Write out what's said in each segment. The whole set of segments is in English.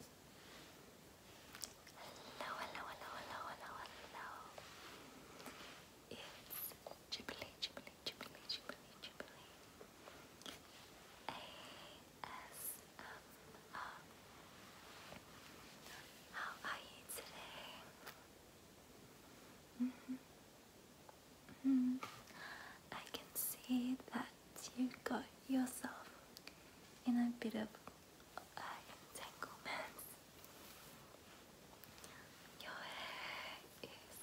Hello, hello, hello, hello, hello, hello. It's Jubilee, Jubilee, Jubilee, Jubilee, Jubilee. ASMR. How are you today? -hmm. -hmm. I can see that you have got yourself in a bit of uh, entanglement. Your hair is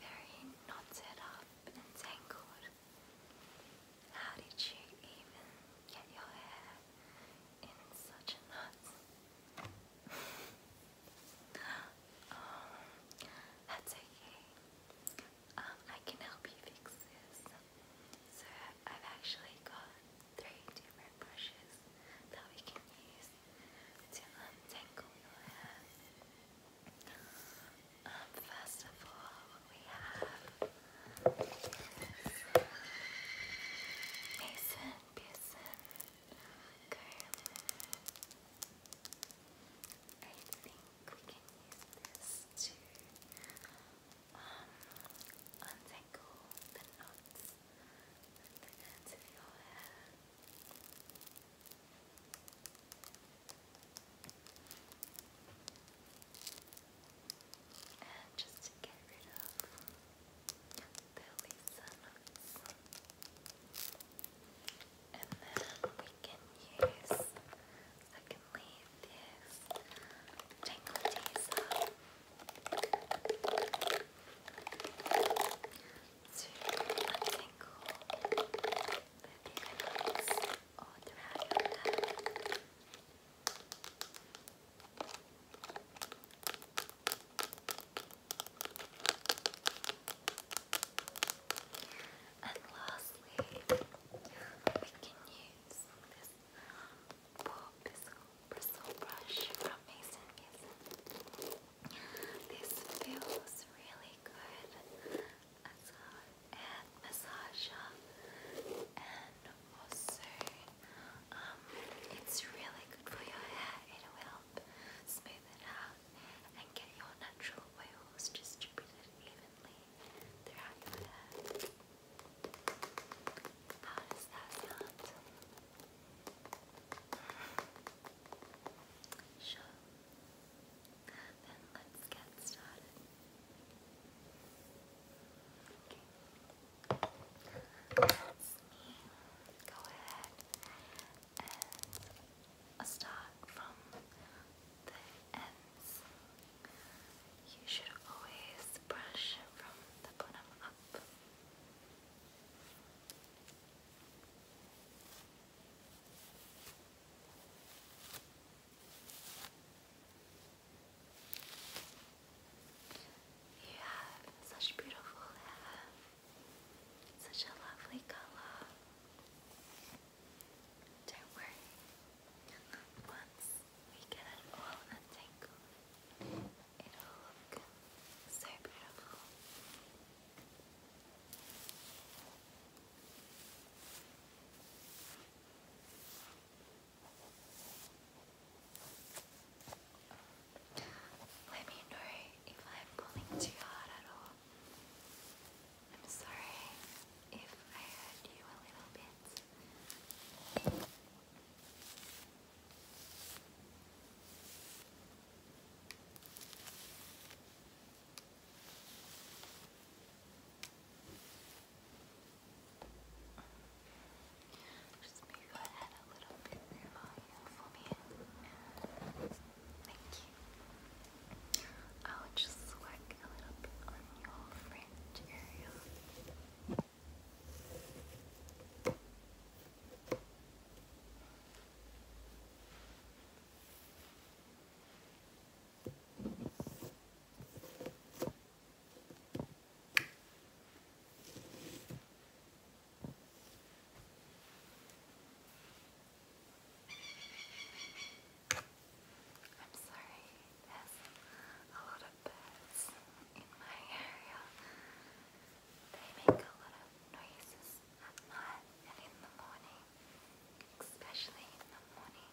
very knotted up and tangled. How did you even get your hair in such a that's okay um, I can help you fix this. So I've actually got three different brushes that we can use to untangle um, your hair. Um, first of all, we have I think we can use this to um, untangle the knots at the ends of your hair. And just to get rid of the Lisa knots. And then we I can use. I can leave this tingle teaser to untangle the fingernails all throughout your hair. And lastly, we can use this ball bristle, brush from Mason Mason. This feels really good as a hand massager and also um, it's really good for your hair. It'll help smooth it out and get your natural oils distributed even gently throughout How does that sound? Sure. Then let's get started. Okay. Let's go ahead and uh, start from the you should always brush from the bottom up. You have such beautiful hair, such a lovely color. Don't worry, once we get it all untangled, it'll look so beautiful. Let me know if I'm pulling too hard at all. I'm sorry if I hurt you a little bit. Just move your head a little bit more for me. Thank you. I'll just whack a little bit on your fringe area. I'm sorry, there's a lot of birds in my area. They make a lot of noises at night and in the morning, especially in the morning.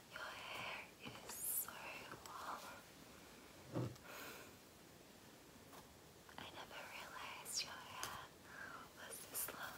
Your hair is so long. I never realized your hair was this long.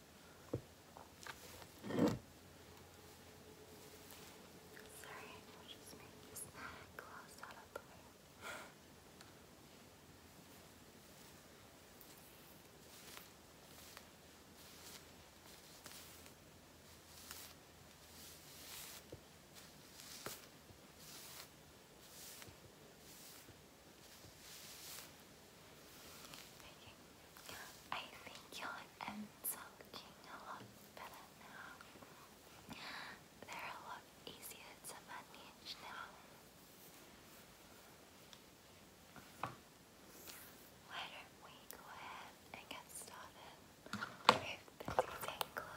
Sorry, I was just making snack close out of the way. Making I think your are looking a lot better now. They're a lot easier to manage now. Why don't we go ahead and get started with the detangle?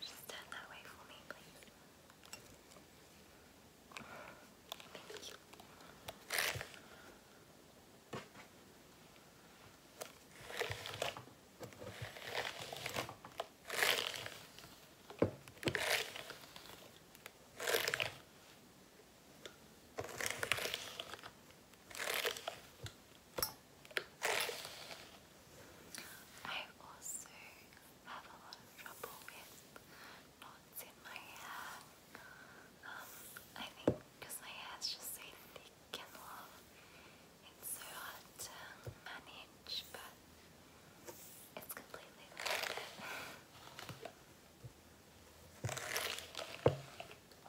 Just turn that way for me, please. Thank you. Okay. I also have a lot of trouble with knots in my hair. Um, I think because my hair just so thick and long, it's so hard to manage, but it's completely worth it.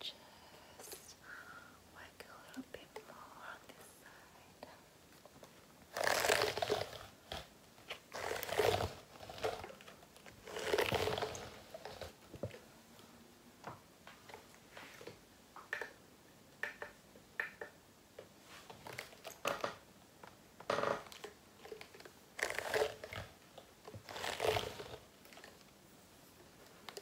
just work a little bit more on this side.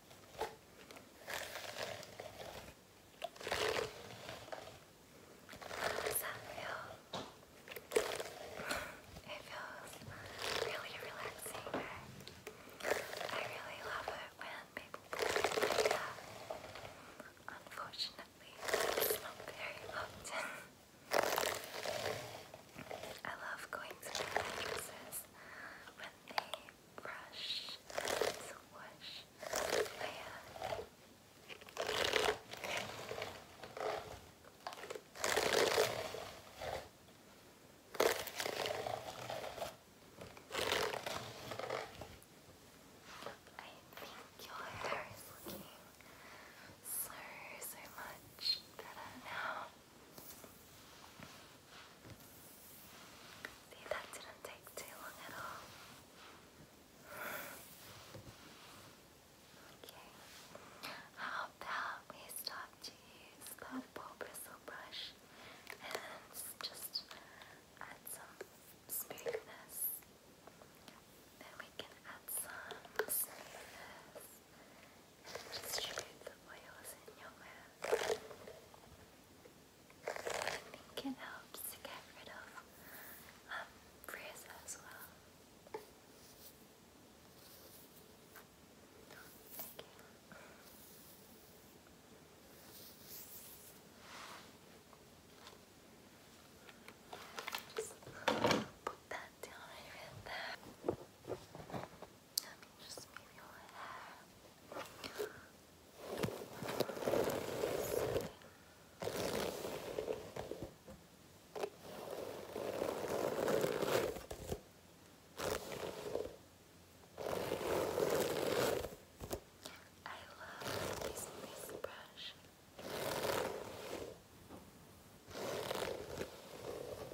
Does that feel? really relaxing. I really love it when people do that. Unfortunately, not very often. I love going to my mattresses when they brush, swish, fan. I think your hair is looking so, so much better now. See, that didn't take too long at all. Okay. How about we start to use that ball bristle brush and just add some smoothness. Then we can add some smoothness and distribute the oils in your hair. I think it to get rid of um, frizz as well. Thank you. put that down right there. Let me just move your hair. I love this, brush.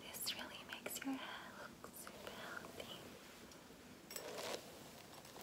This really makes your hair look super healthy.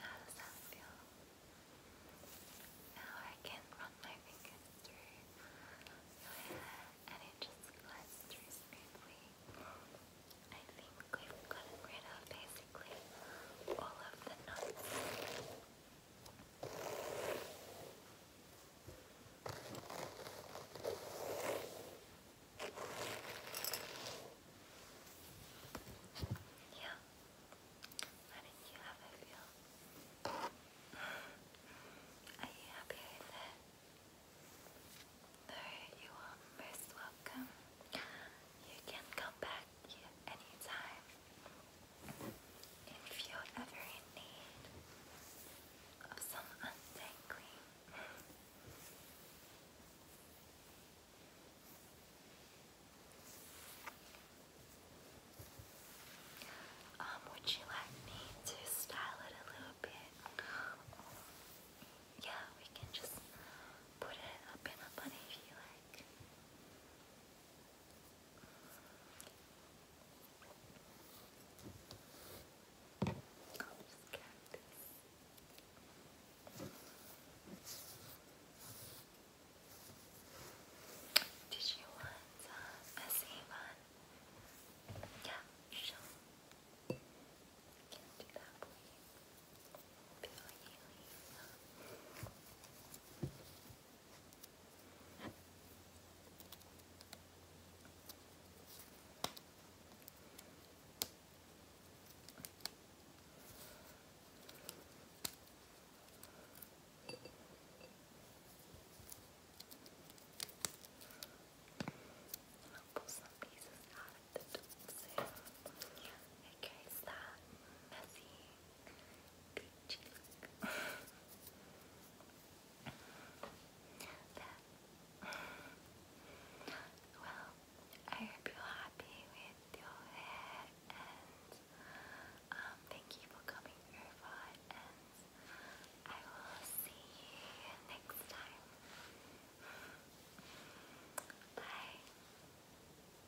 How does that feel? Now I can run my fingers through your hair and it just glides through smoothly. I think we've gotten rid of basically all of the knots. Yeah. How you have it feel? Are you happy with it? Alright, you are most welcome. You can come back you anytime. If you ever in need of some untangling, um, would you like me to style it a little bit? Yeah, we can just put it up in a bunny if you like. Did you want uh, a same one? Yeah, sure. Can do that for you. Bill Haley. Uh, I'll pull some pieces out of the tools soon. It creates that messy well, I hope you're happy with your hair and um, thank you for coming over and I will see you next time. Bye.